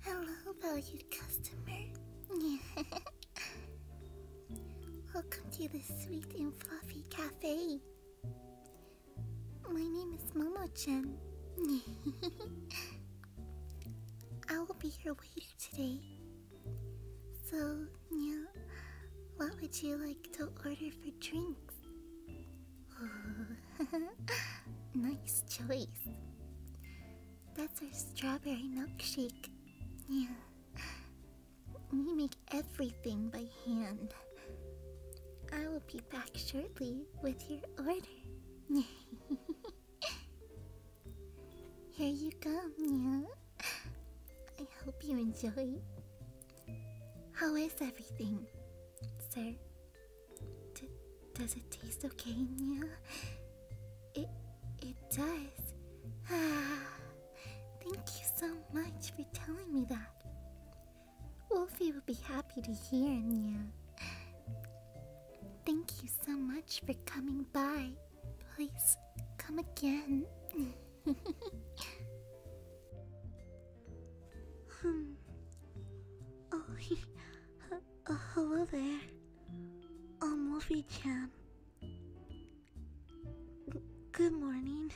Hello, valued customer. Welcome to the sweet and fluffy cafe. My name is Momo-chan. I will be your waiter today. So, yeah, what would you like to order for drinks? Oh, nice choice. That's our strawberry milkshake. Yeah. We make everything by hand. I will be back shortly with your order. Here you go, Meow. I hope you enjoy. How is everything, sir? does it taste okay, Nya? It it does. Ah, thank you so much for telling me that. Wolfie would be happy to hear, Nya. Thank you so much for coming by. Please come again. Hmm. Oh, uh, hello there. I'm um, Morphe-chan. Good morning.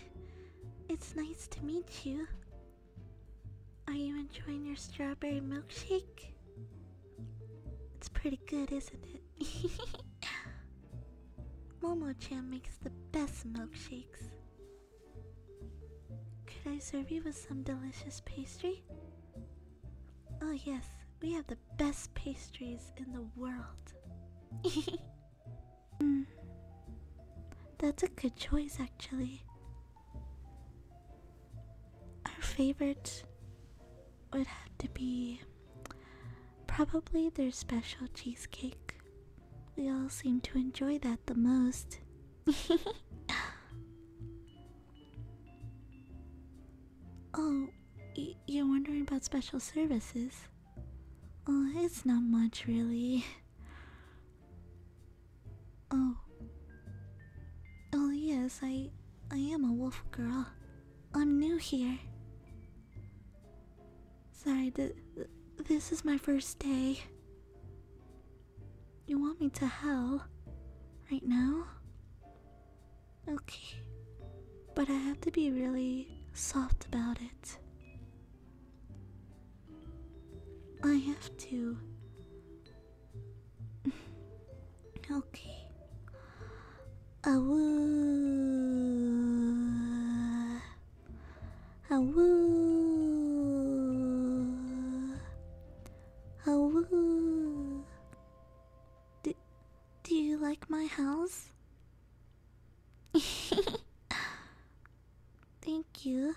It's nice to meet you. Are you enjoying your strawberry milkshake? It's pretty good, isn't it? Momo-chan makes the best milkshakes. Could I serve you with some delicious pastry? Oh, yes, we have the best pastries in the world. Hmm. That's a good choice, actually. Our favorite would have to be probably their special cheesecake. We all seem to enjoy that the most. oh, you're wondering about special services? Oh, it's not much, really. Oh. Oh, yes, I. I am a wolf girl. I'm new here. Sorry, this is my first day. You want me to hell right now? Okay. But I have to be really soft about it. I have to. okay. Awoo. Awoo. Oh, do, do you like my house? Thank you.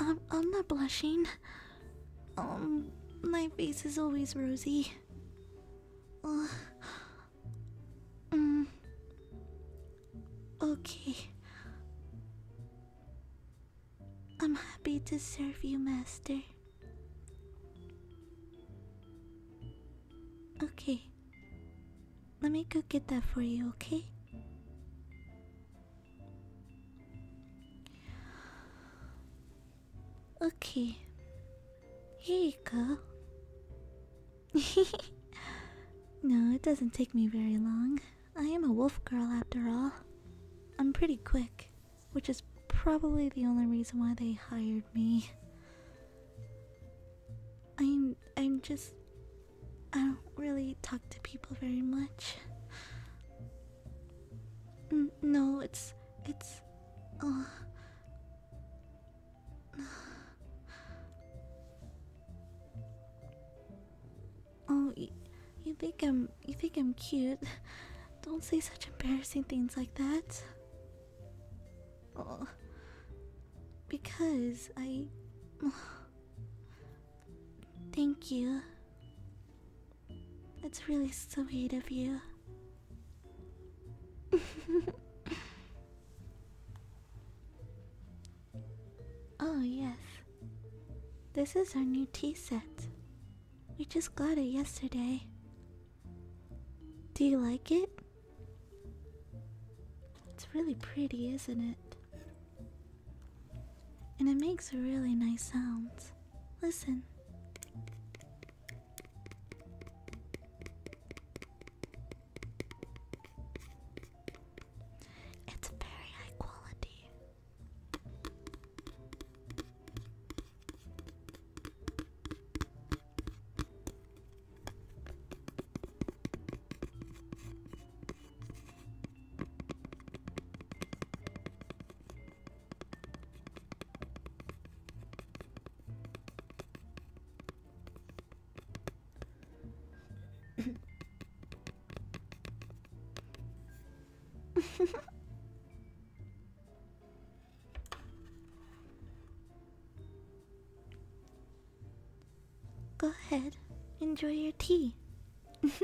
I'm, I'm not blushing. Um, my face is always rosy. Uh, Okay. I'm happy to serve you, Master. Okay. Let me go get that for you, okay? Okay. Here you go. no, it doesn't take me very long. I am a wolf girl after all. I'm pretty quick, which is probably the only reason why they hired me. I'm I'm just I don't really talk to people very much. no, it's it's uh Oh, you, think I'm you think I'm cute? Don't say such embarrassing things like that. Oh, because I. Thank you. It's really sweet of you. Oh, yes. This is our new tea set. We just got it yesterday. Do you like it? It's really pretty, isn't it? And it makes really nice sounds. Listen. It's very high quality. Go ahead, enjoy your tea.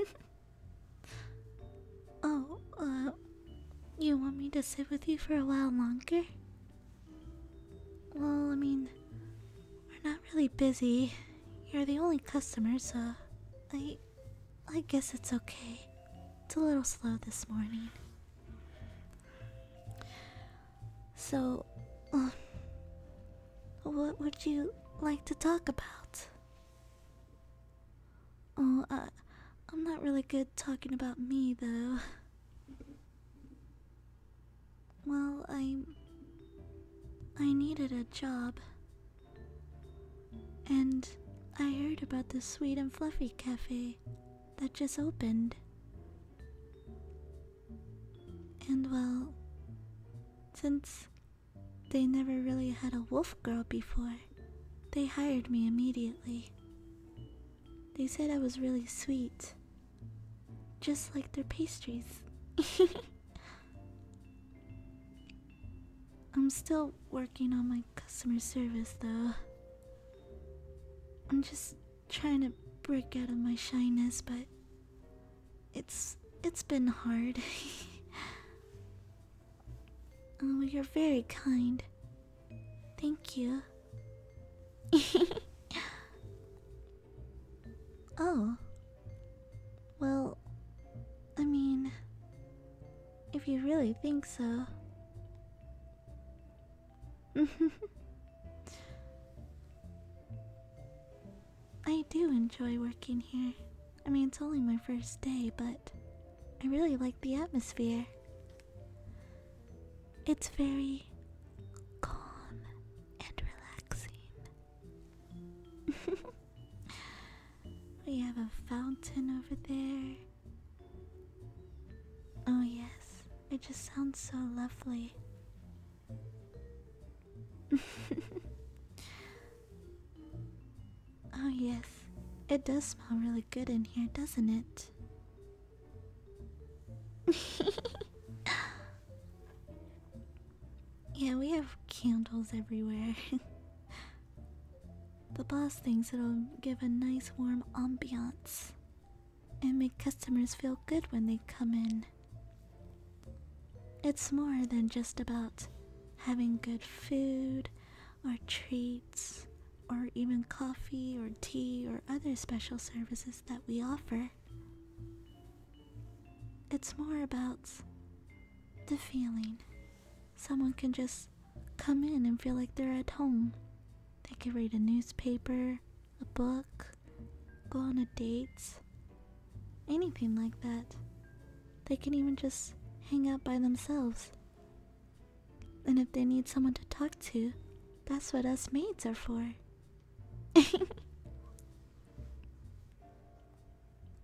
oh, uh, you want me to sit with you for a while longer? Well, I mean, we're not really busy. You're the only customer, so I I guess it's okay. It's a little slow this morning. So, um, what would you like to talk about? Oh, uh, I'm not really good talking about me, though. Well, I. I needed a job. And I heard about the Sweet and Fluffy Cafe that just opened. And well, since they never really had a wolf girl before, they hired me immediately. They said I was really sweet just like their pastries. I'm still working on my customer service though. I'm just trying to break out of my shyness, but it's it's been hard. oh, you're very kind. Thank you. oh, well, I mean, if you really think so. I do enjoy working here. I mean, it's only my first day, but I really like the atmosphere. It's very calm and relaxing. we have a fountain over there. Oh, yes, it just sounds so lovely. oh, yes, it does smell really good in here, doesn't it? Yeah, we have candles everywhere. the boss thinks it'll give a nice warm ambiance and make customers feel good when they come in. It's more than just about having good food or treats or even coffee or tea or other special services that we offer. It's more about the feeling. Someone can just come in and feel like they're at home. They can read a newspaper, a book, go on a date, anything like that. They can even just hang out by themselves. And if they need someone to talk to, that's what us maids are for.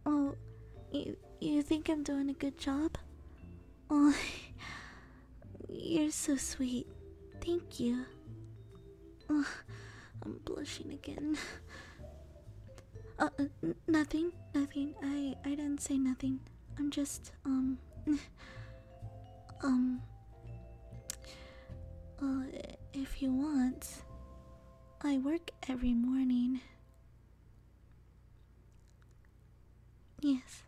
Oh, you, you think I'm doing a good job? Oh, you're so sweet. Thank you. Oh, I'm blushing again. Uh, nothing, nothing. I I didn't say nothing. I'm just um um. Uh, if you want, I work every morning. Yes.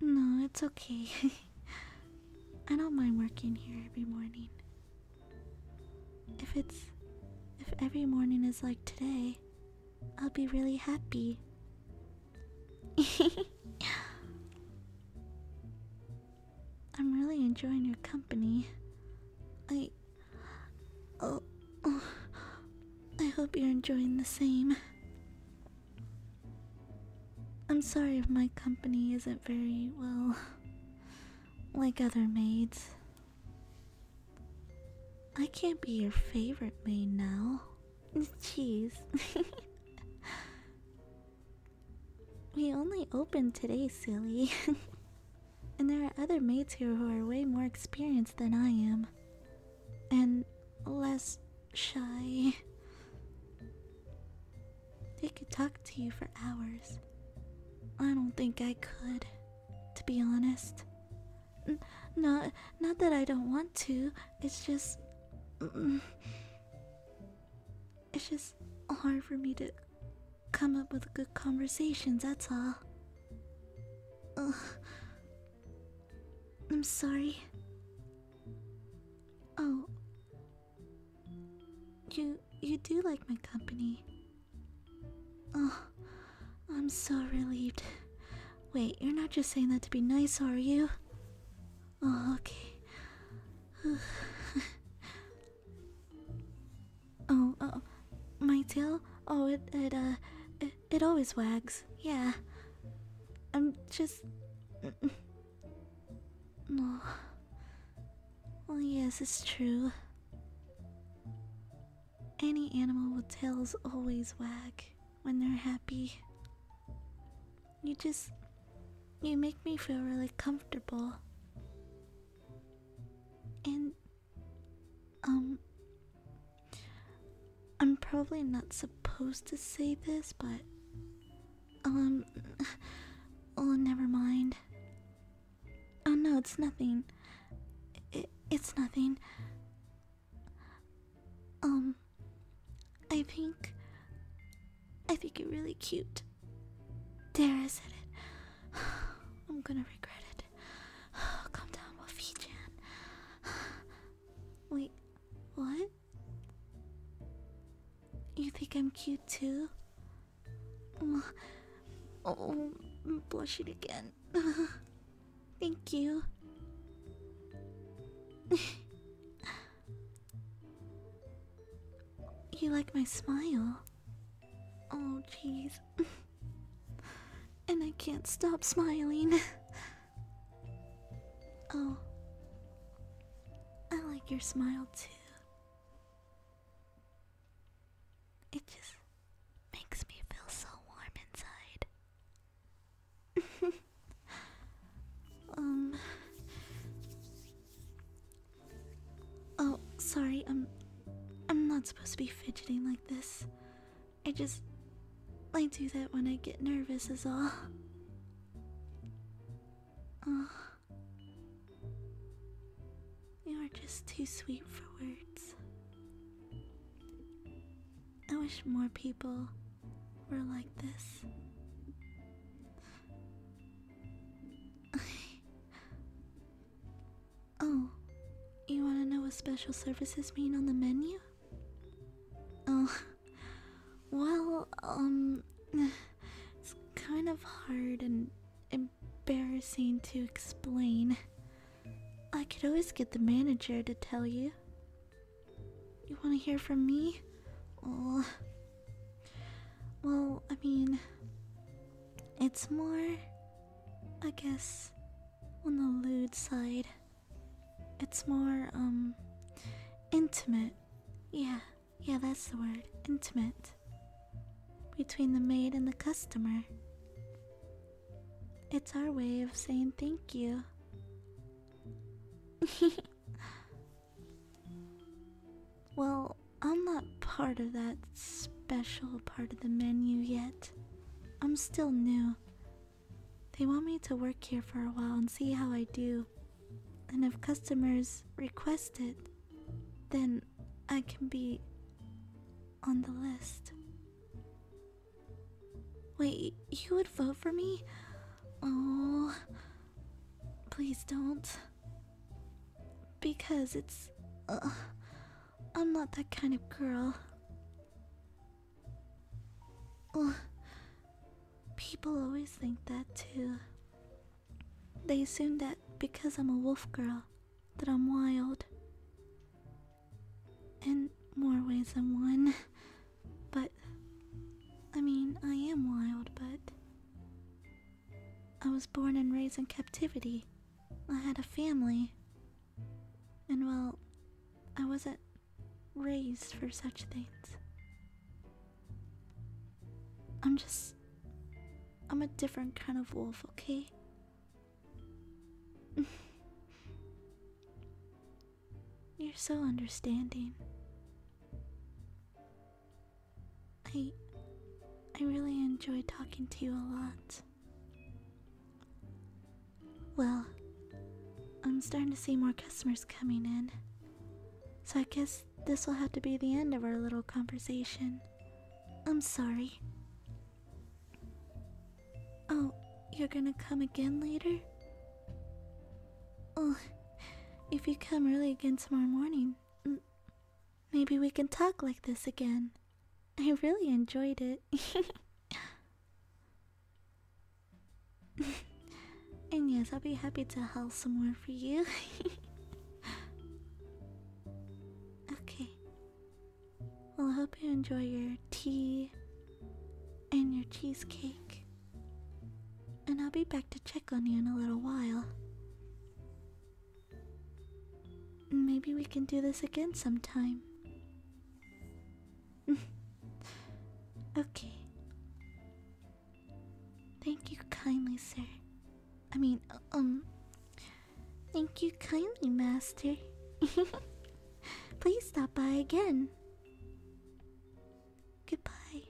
No, it's okay. I don't mind working here every morning. If it's. if every morning is like today, I'll be really happy. I'm really enjoying your company. I. Oh, oh, I hope you're enjoying the same. I'm sorry if my company isn't very, well, like other maids. I can't be your favorite maid now. Jeez. We only opened today, silly. and there are other maids here who are way more experienced than I am. And less shy. They could talk to you for hours. I don't think I could, to be honest. N not, not that I don't want to, it's just. It's just hard for me to come up with good conversations, that's all. I'm sorry. Oh. You you do like my company. Oh, I'm so relieved. Wait, you're not just saying that to be nice, are you? Oh, okay. Oh, oh, my tail? Oh, it, it, uh, it, it always wags. Yeah. I'm just. No. Well, yes, it's true. Any animal with tails always wag when they're happy. You just. You make me feel really comfortable. And. Um. I'm probably not supposed to say this, but. Um. Oh, never mind. Oh no, it's nothing. it's nothing. Um. I think. I think you're really cute. Dara said it. I'm gonna regret it. Calm down, Wolfie Jan. Wait, what? You think I'm cute too? Oh, I'm blushing again. Thank you. You like my smile? Oh, jeez. and I can't stop smiling. oh. I like your smile too. It just makes me feel so warm inside. um, Oh, sorry. I'm I'm not supposed to be fidgeting like this. I just I do that when I get nervous is all. Oh. You are just too sweet for words. I wish more people were like this. oh, you want to know what special services mean on the menu? Oh, well, um, it's kind of hard and embarrassing to explain. I could always get the manager to tell you. You want to hear from me? Oh, well, I mean, it's more, I guess, on the lewd side. It's more, um, intimate. Yeah, yeah, that's the word. Intimate. Between the maid and the customer. It's our way of saying thank you. Well, I'm not part of that special part of the menu yet. I'm still new. They want me to work here for a while and see how I do. And if customers request it, then I can be on the list. Wait, you would vote for me? Oh, please don't. Because it's. Uh, I'm not that kind of girl. people always think that too. They assume that because I'm a wolf girl, that I'm wild. In more ways than one. But. I mean, I am wild, but. I was born and raised in captivity. I had a family. And well, I wasn't raised for such things. I'm just. I'm a different kind of wolf, okay? You're so understanding. I I really enjoy talking to you a lot. Well, I'm starting to see more customers coming in. So I guess this will have to be the end of our little conversation. I'm sorry. Oh, you're gonna come again later? Oh, if you come early again tomorrow morning, Maybe we can talk like this again. I really enjoyed it. and yes, I'll be happy to haul some more for you. okay. Well, I hope you enjoy your tea and your cheesecake. And I'll be back to check on you in a little while. Maybe we can do this again sometime. okay. Thank you kindly, sir. I mean, uh, um. Thank you kindly, master. Please stop by again. Goodbye.